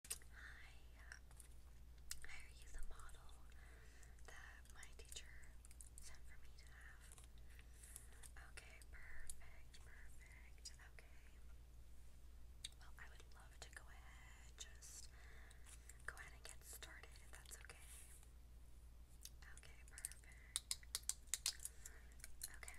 Hi. Uh, uh, Are you the model that my teacher sent for me to have? Okay, perfect, perfect. Okay. Well, I would love to go ahead, just go ahead and get started if that's okay. Okay, perfect. Okay.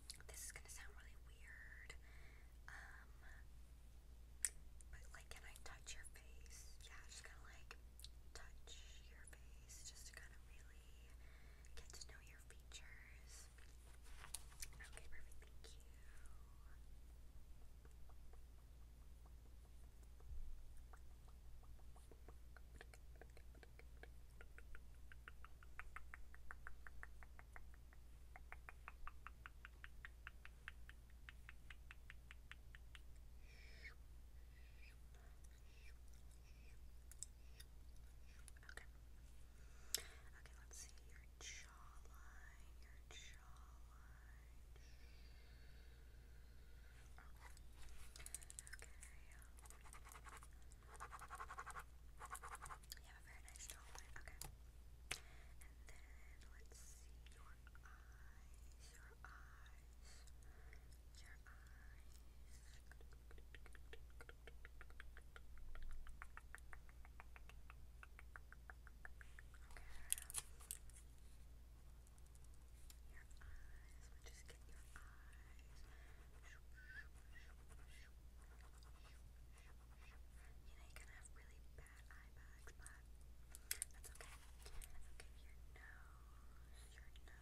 This is gonna sound really weird. Um, but like, can I touch your face? Yeah, just kind of like touch your face, just to kind of really get to know your features. Okay, perfect. Thank you. Okay. Okay, let's see your jawline, your jawline. Okay. Okay. You have a very nice jaw line. Okay. And then let's see your eyes. Your eyes. Your eyes. Okay. Your eyes. Let me just get your eyes. You know, you can have really bad eye bags, but that's okay. Okay, your nose, your nose, your nose. Okay, just.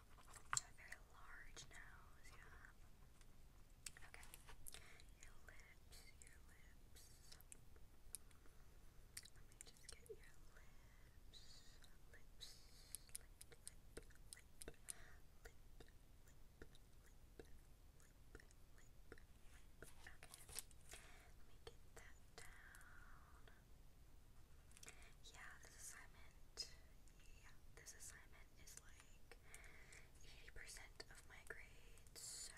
A very large nose, yeah. Okay. Your lips, your lips. Let me just get your lips. Lips, lip, lip, lip, lip, lip, lip, lip, lip, lip. Okay. Let me get that down. Yeah, this assignment, yeah, this assignment is like 80% of my grade, so,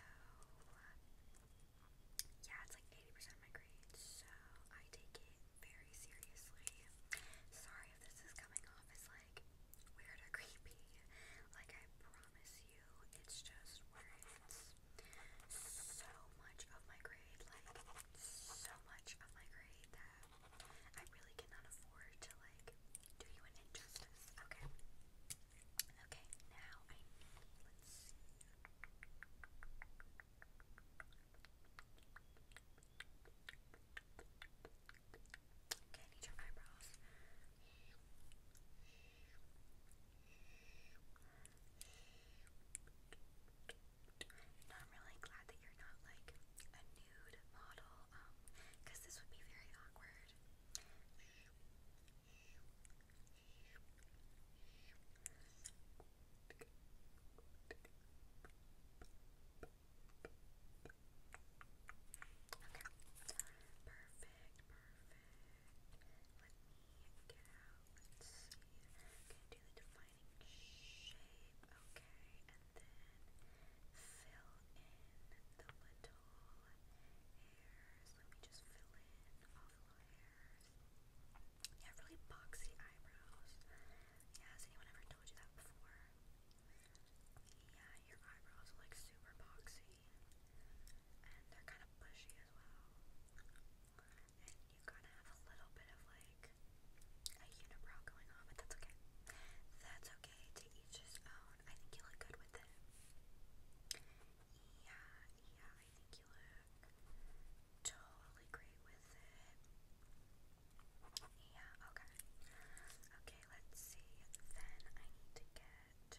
yeah, it's like 80% of my grade, so I take it very seriously. Sorry if this is coming off as like weird or creepy, like I promise you, it's just words so much of my grade, like so much of my grade that I really cannot afford to like do you an injustice. Okay. Okay, now I need let's see. Okay, you I'm really glad that you're not like a nude model, um, because this would be very awkward. Okay. Perfect, perfect get out. Let's see. going do the defining shape. Okay, and then fill in the little hairs. Let me just fill in all the hairs. Yeah, really boxy eyebrows. has anyone ever told you that before? Yeah, your eyebrows are like super boxy. And they're kind of bushy as well and you kind of have a little bit of like a unibrow going on, but that's okay. That's okay to each his own. I think you look good with it. Yeah, yeah, I think you look totally great with it. Yeah, okay. Okay, let's see. Then I need to get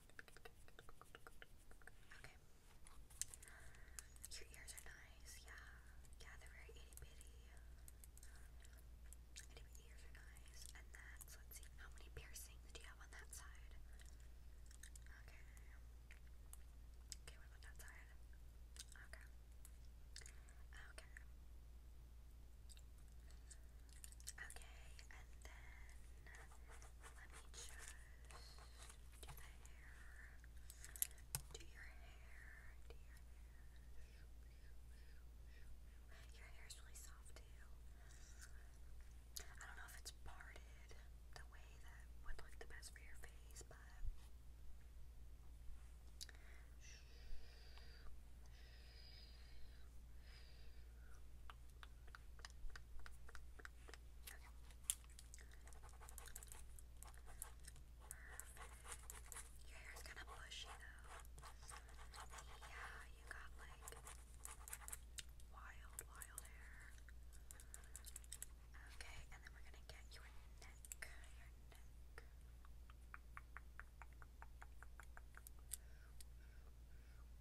Okay. Your ears are nice, yeah. Yeah, they're very itty bitty. Itty bitty ears are nice. And that's, let's see, how many piercings do you have on that side? Okay. Okay, what that side? Okay. Okay. Okay, and then let me just to the your hair, to your hair. Your hair is really soft too. I don't know if it's parted the way that would look the best for your face, but. Perfect. Your hair's kind of bushy though. Yeah, you got like wild, wild hair. Okay, and then we're gonna get your neck. Your neck.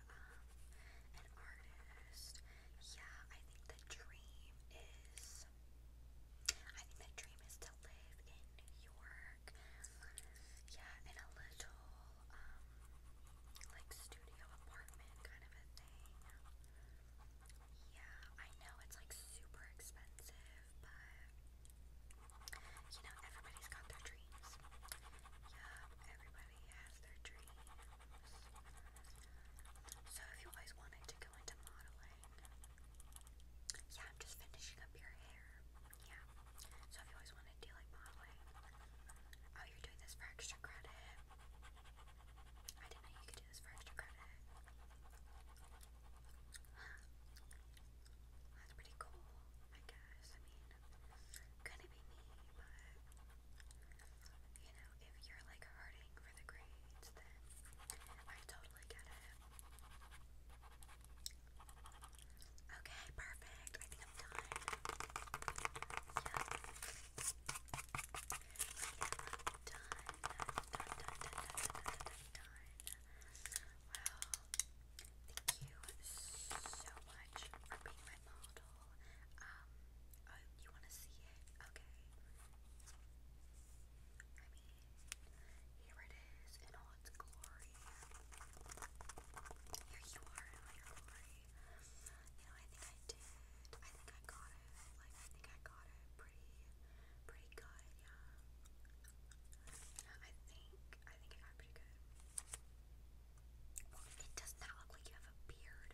an artist. Yeah, I think the dream is. I think the dream is to live in New York. Yeah, in a little, um, like studio apartment kind of a thing. Yeah, I know it's like super expensive, but. You know, everybody's got their dreams. Yeah, everybody so if you always wanted to go into modeling, yeah, I'm just finishing up your hair. Yeah. So if you always wanted to like modeling, oh, you're doing this for extra credit. I didn't know you could do this for extra credit. That's pretty cool, I guess gonna be me, but you know, if you're like hurting for the grades, then I totally get it. Okay, perfect. I think I'm done. Yeah. I am done. Done, done, done, done, done, done. Well, thank you so much for being my model. Um, oh, you want to see it? Okay. I mean, here it is in all its glory. Here you are in all your glory. You know, I think I did. I think I got it. Like, I think I got it pretty, pretty good, yeah. I think I think it got pretty good. it does not look like you have a beard.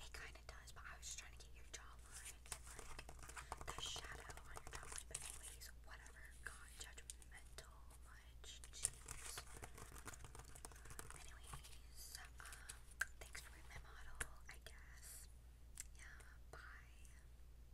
It kind of does, but I was just trying to get your jawline the shadow on your jawline. But anyways, whatever. God, judgmental much. Jeez. Anyways, um, thanks for being my model. I guess. Yeah. Bye.